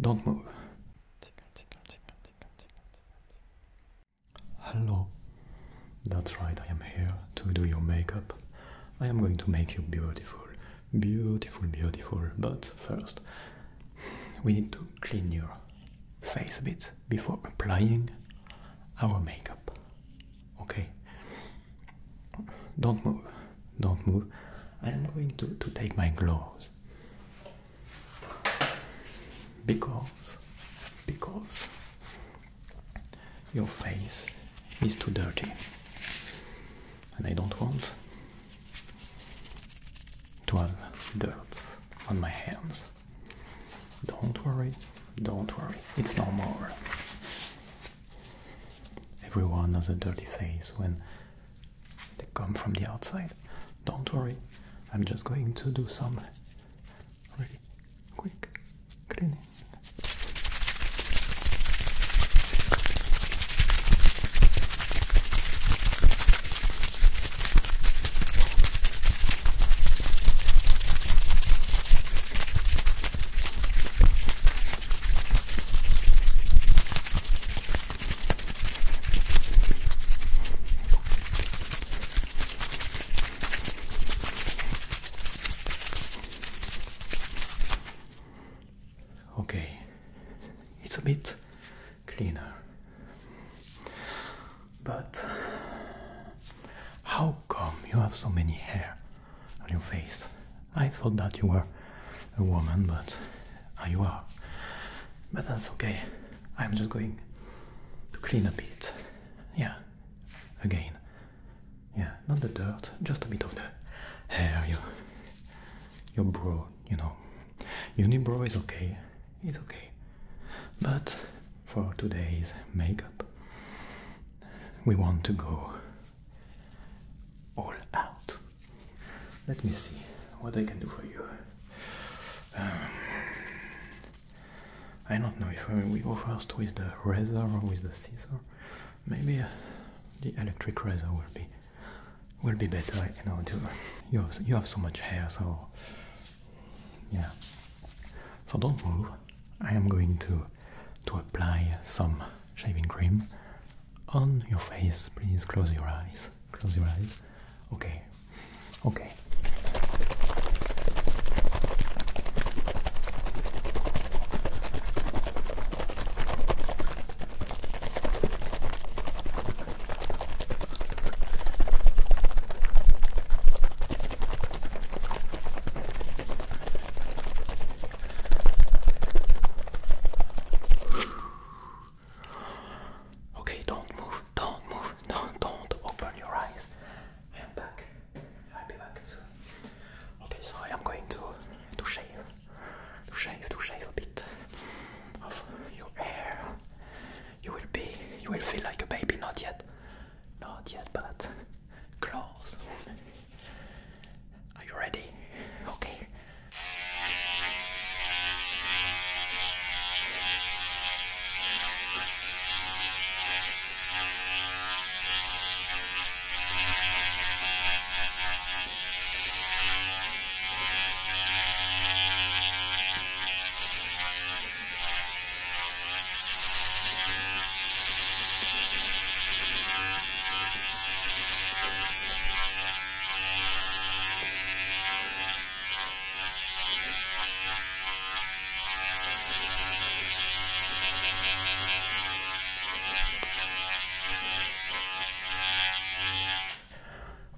Don't move. Hello. That's right, I am here to do your makeup. I am going to make you beautiful. Beautiful, beautiful. But first, we need to clean your face a bit before applying our makeup. Okay? Don't move. Don't move. I'm going to, to take my gloves because because your face is too dirty and I don't want to have dirt on my hands. Don't worry, don't worry, it's no more. Everyone has a dirty face when they come from the outside. Don't worry, I'm just going to do some really quick cleaning. Okay, it's a bit cleaner. But how come you have so many hair on your face? I thought that you were a woman, but oh, you are. But that's okay. I'm just going to clean a bit. Yeah, again. Yeah, not the dirt, just a bit of the hair, your, your brow, you know. Your new brow is okay, it's okay. But for today's makeup, we want to go all out. Let me see what I can do for you. Um, I don't know if we go first with the razor or with the scissor. Maybe uh, the electric razor will be will be better. You know, have, you have so much hair, so yeah. So don't move. I am going to to apply some shaving cream on your face. Please close your eyes. Close your eyes. Okay. Okay. Okay, don't move, don't move, do don't open your eyes. I am back. I'll be back Okay, so I am going to to shave, to shave, to shave a bit of your hair. You will be, you will feel like a baby, not yet, not yet, but close. Are you ready? Okay.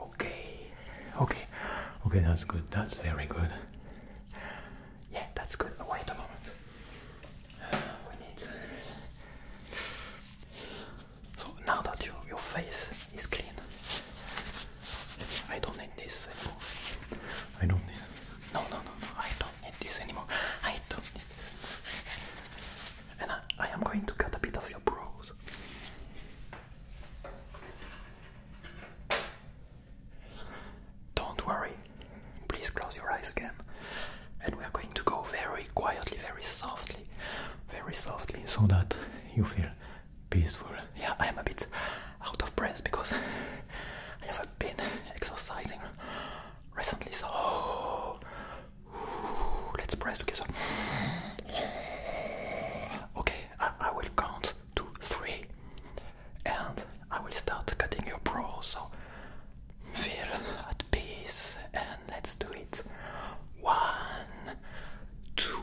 Okay, okay, okay, that's good, that's very good. Yeah, that's good. Wait a moment. Uh, we need. So now that your, your face is clean, I don't need this anymore. I don't need. No, no, no, I don't need this anymore. I don't need this. And I am going to cut a bit of your brows. Don't worry. Please close your eyes again and we are going to go very quietly, very softly, very softly, so that you feel peaceful. Yeah, I am a bit out of breath because I have been exercising recently, so let's press breathe together. Okay, I, will count to three and I will start cutting your brow, so feel at peace and Let's do it. One, two.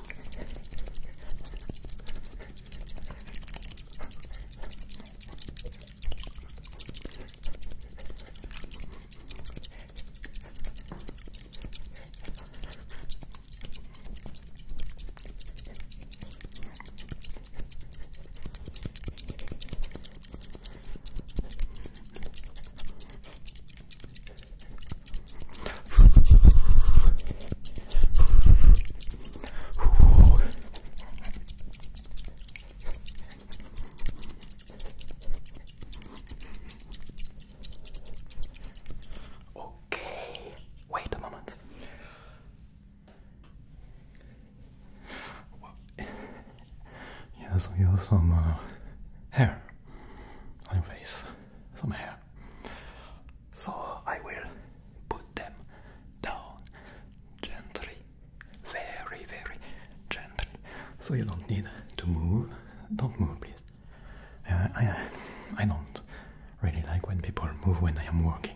Okay, wait a moment. Well, yes, we have some uh, hair on your face, some hair. So I will put them down gently, very, very gently. So you don't need to move. Don't move, please. Uh, I, I don't really like when people move when I am working.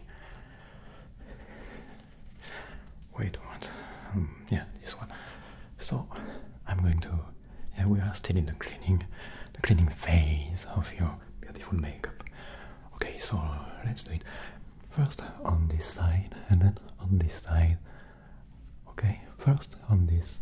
Wait, what? Um, yeah, this one. So I'm going to. Yeah, we are still in the cleaning, the cleaning phase of your beautiful makeup. Okay, so let's do it. First on this side, and then on this side. Okay, first on this.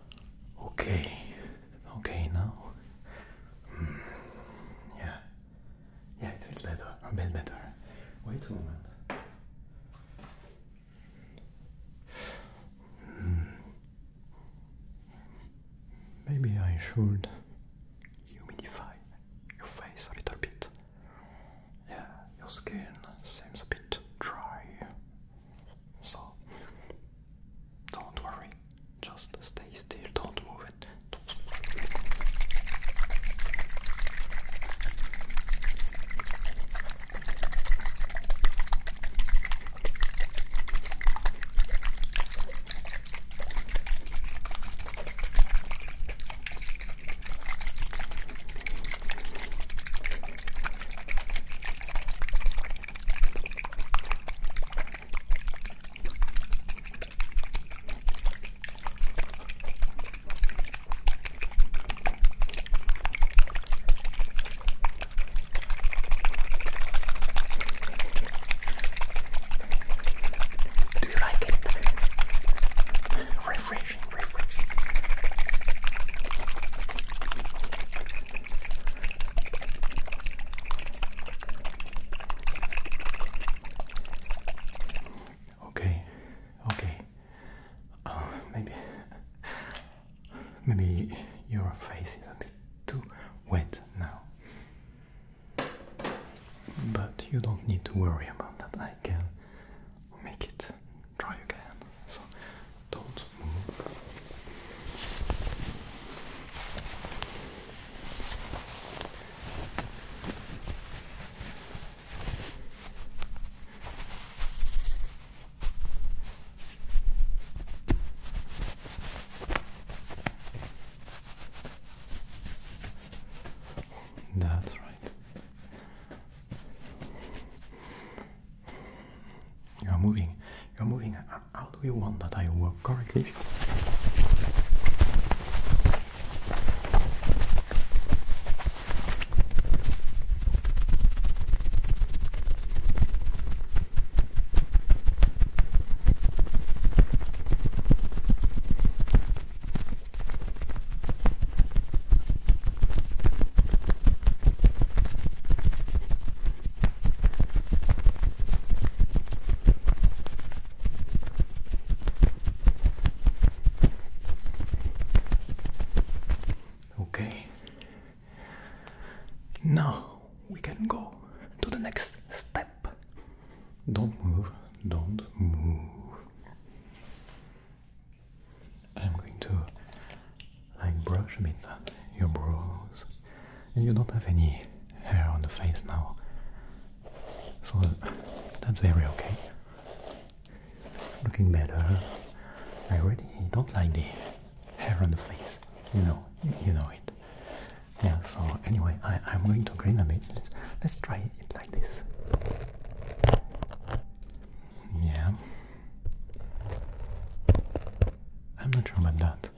Okay, okay now. Hmm. Yeah, yeah, it feels better, a bit better. Wait a moment. Hmm. Maybe I should humidify your face a little bit. Yeah, your skin seems a bit dry. So don't worry, just stay still, don't move it. Do you like it? Refreshing. Okay, okay. Uh, maybe, maybe your face is a bit too wet now. But you don't need to worry about that. I can make it try again. So don't move. That's right. You are moving. You are moving. How do you want that I work correctly? Okay. Now we can go to the next step. Don't move, don't move. I'm going to like brush a bit uh, your brows. And you don't have any hair on the face now. So that's very okay. Looking better. I really don't like the hair on the face. You know, you know it. Yeah, so anyway, I, I'm going to clean a bit. Let's, let's try it like this. Yeah. I'm not sure about that.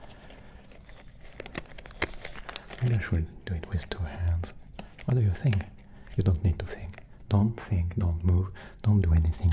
Maybe I should do it with two hands. What do you think? You don't need to think. Don't think, don't move, don't do anything.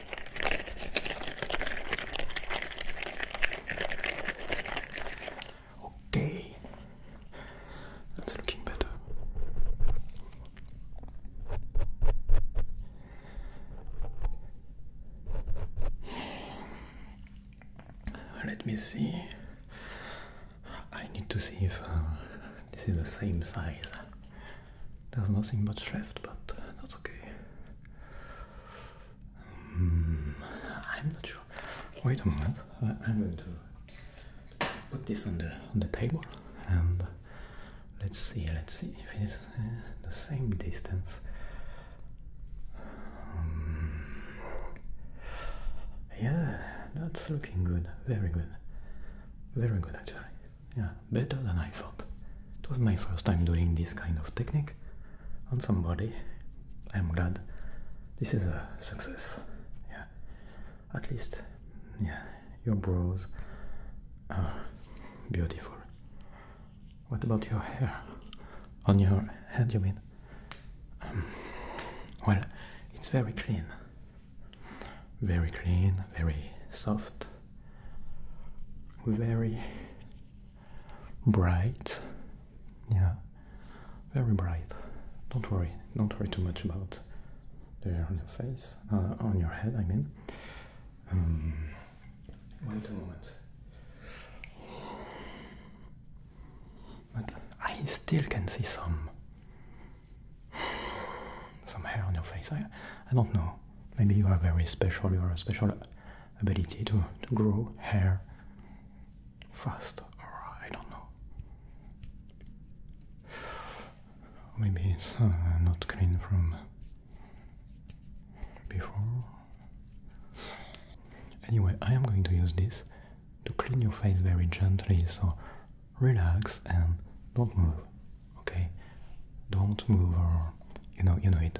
Okay, that's looking better. Let me see. I need to see if uh, this is the same size. There's nothing much left, but that's okay. Hmm, I'm not sure. Wait a minute. Uh, I'm going to put this on the on the table and let's see. Let's see if it's uh, the same distance. Hmm. yeah, that's looking good. Very good. Very good actually. Yeah, better than I thought. It was my first time doing this kind of technique on somebody. I'm glad this is a success. Yeah, at least, yeah, your brows are beautiful. What about your hair? On your head, you mean? Um, well, it's very clean. Very clean, very soft, very bright. Yeah, very bright. Don't worry, don't worry too much about the hair on your face, uh, on your head, I mean. Um, wait a moment. But I still can see some some hair on your face. I, I don't know. Maybe you are very special. You are a special ability to, to grow hair fast, or I don't know. Maybe it's uh, not clean from before. Anyway, I am going to use this to clean your face very gently, so relax and don't move, okay? Don't move or you know you know it.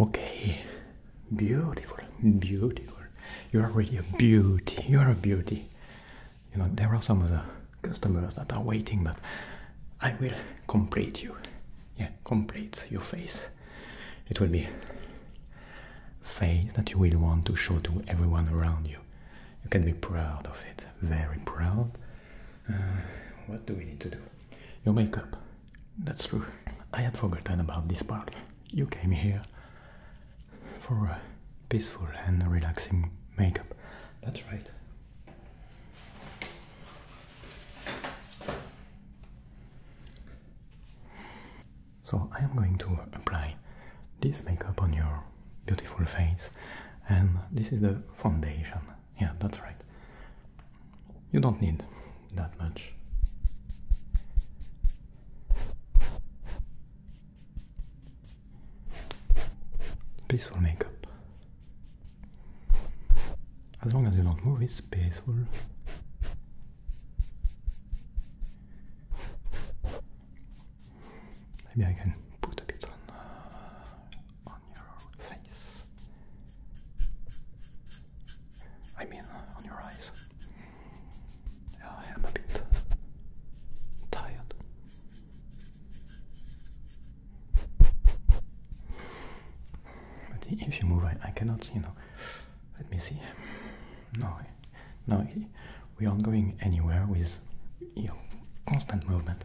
Okay, beautiful, beautiful. You are really a beauty. You are a beauty. You know there are some other customers that are waiting, but I will complete you. Yeah, complete your face. It will be face that you will want to show to everyone around you. You can be proud of it. Very proud. Uh, what do we need to do? Your makeup. That's true. I had forgotten about this part. You came here for a peaceful and relaxing makeup. That's right. So I am going to apply this makeup on your beautiful face and this is the foundation yeah, that's right. You don't need that much. Peaceful makeup. As long as you don't move, it's peaceful. Maybe I can put a bit on, uh, on your face. I mean, on your eyes. I am a bit tired. But if you move, I, I cannot, you know. Let me see. No, no, we aren't going anywhere with your constant movement.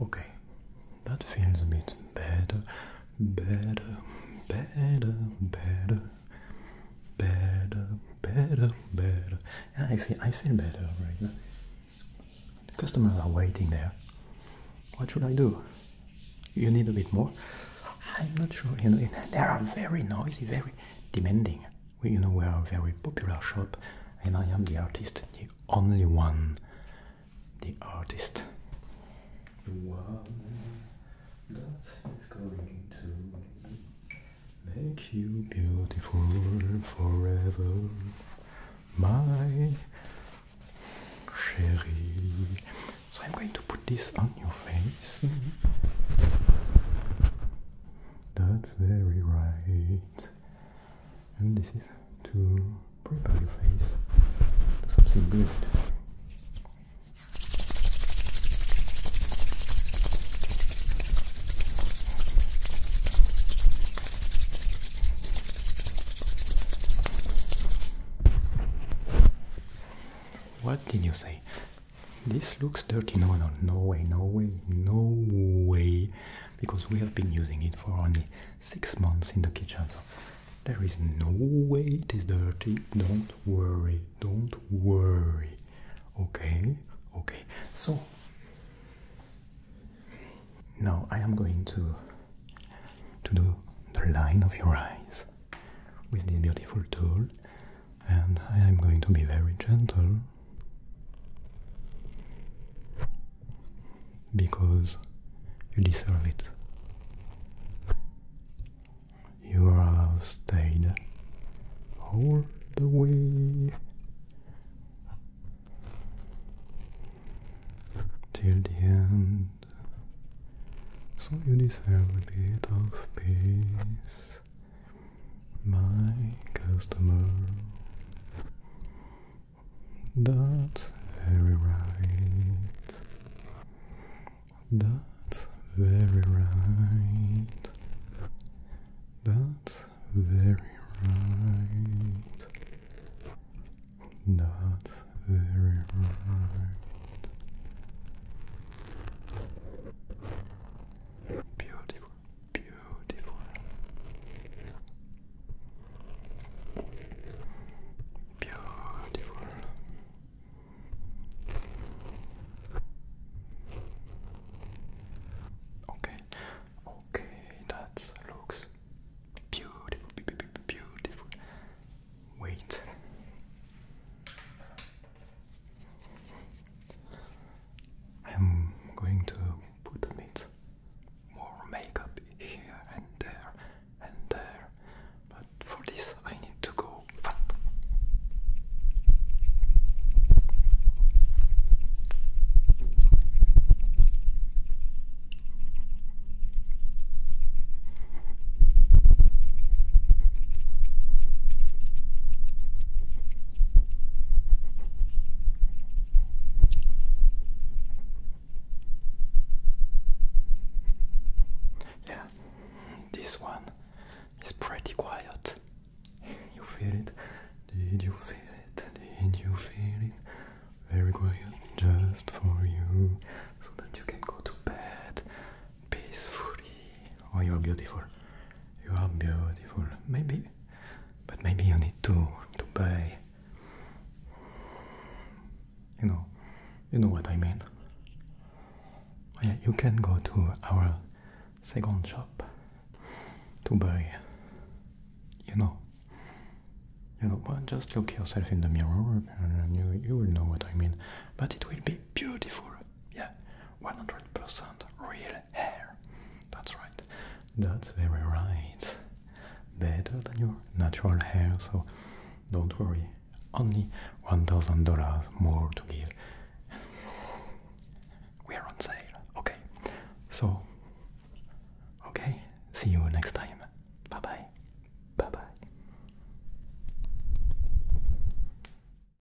Okay, that feels a bit better, better, better, better, better, better, better. Yeah, I feel I feel better right now. The customers are waiting there. What should I do? You need a bit more. I'm not sure. You know, they are very noisy, very demanding we, you know, we are a very popular shop, and I am the artist, the only one, the artist. The going to make you beautiful forever, my chérie. So I'm going to put this on your face. That's very right. And this is to prepare your face to something good. What did you say? This looks dirty. No, no, no way, no way, no way. Because we have been using it for only six months in the kitchen, so there is no way it is dirty. Don't worry, don't worry. Okay, okay. So now I am going to to do the line of your eyes with this beautiful tool and I am going to be very gentle because you deserve it. You have stayed all the way till the end, so you deserve a bit of peace my customer. That's very right. That's very right. That's very right. That's very right. Beautiful beautiful. Beautiful. Okay, okay, that looks beautiful, be beautiful. Wait. I'm going to put a bit more makeup here and there and there, but for this I need to go yeah, this one is pretty quiet. You feel it? Did you feel it? Did you feel it? Very quiet, just for you, so that you can go to bed peacefully. Oh, you're beautiful. You are beautiful. Maybe, but maybe you need to to buy. You know, you know what I mean. Oh, yeah, you can go to our second shop to buy. You know. You know, well, just look yourself in the mirror, and you you will know what I mean. But it will be beautiful. Yeah, 100% real hair. That's right. That's very right. Better than your natural hair, so don't worry. Only $1,000 more to give. We're on sale. Okay. So, okay. See you next time. Bye bye. Bye bye.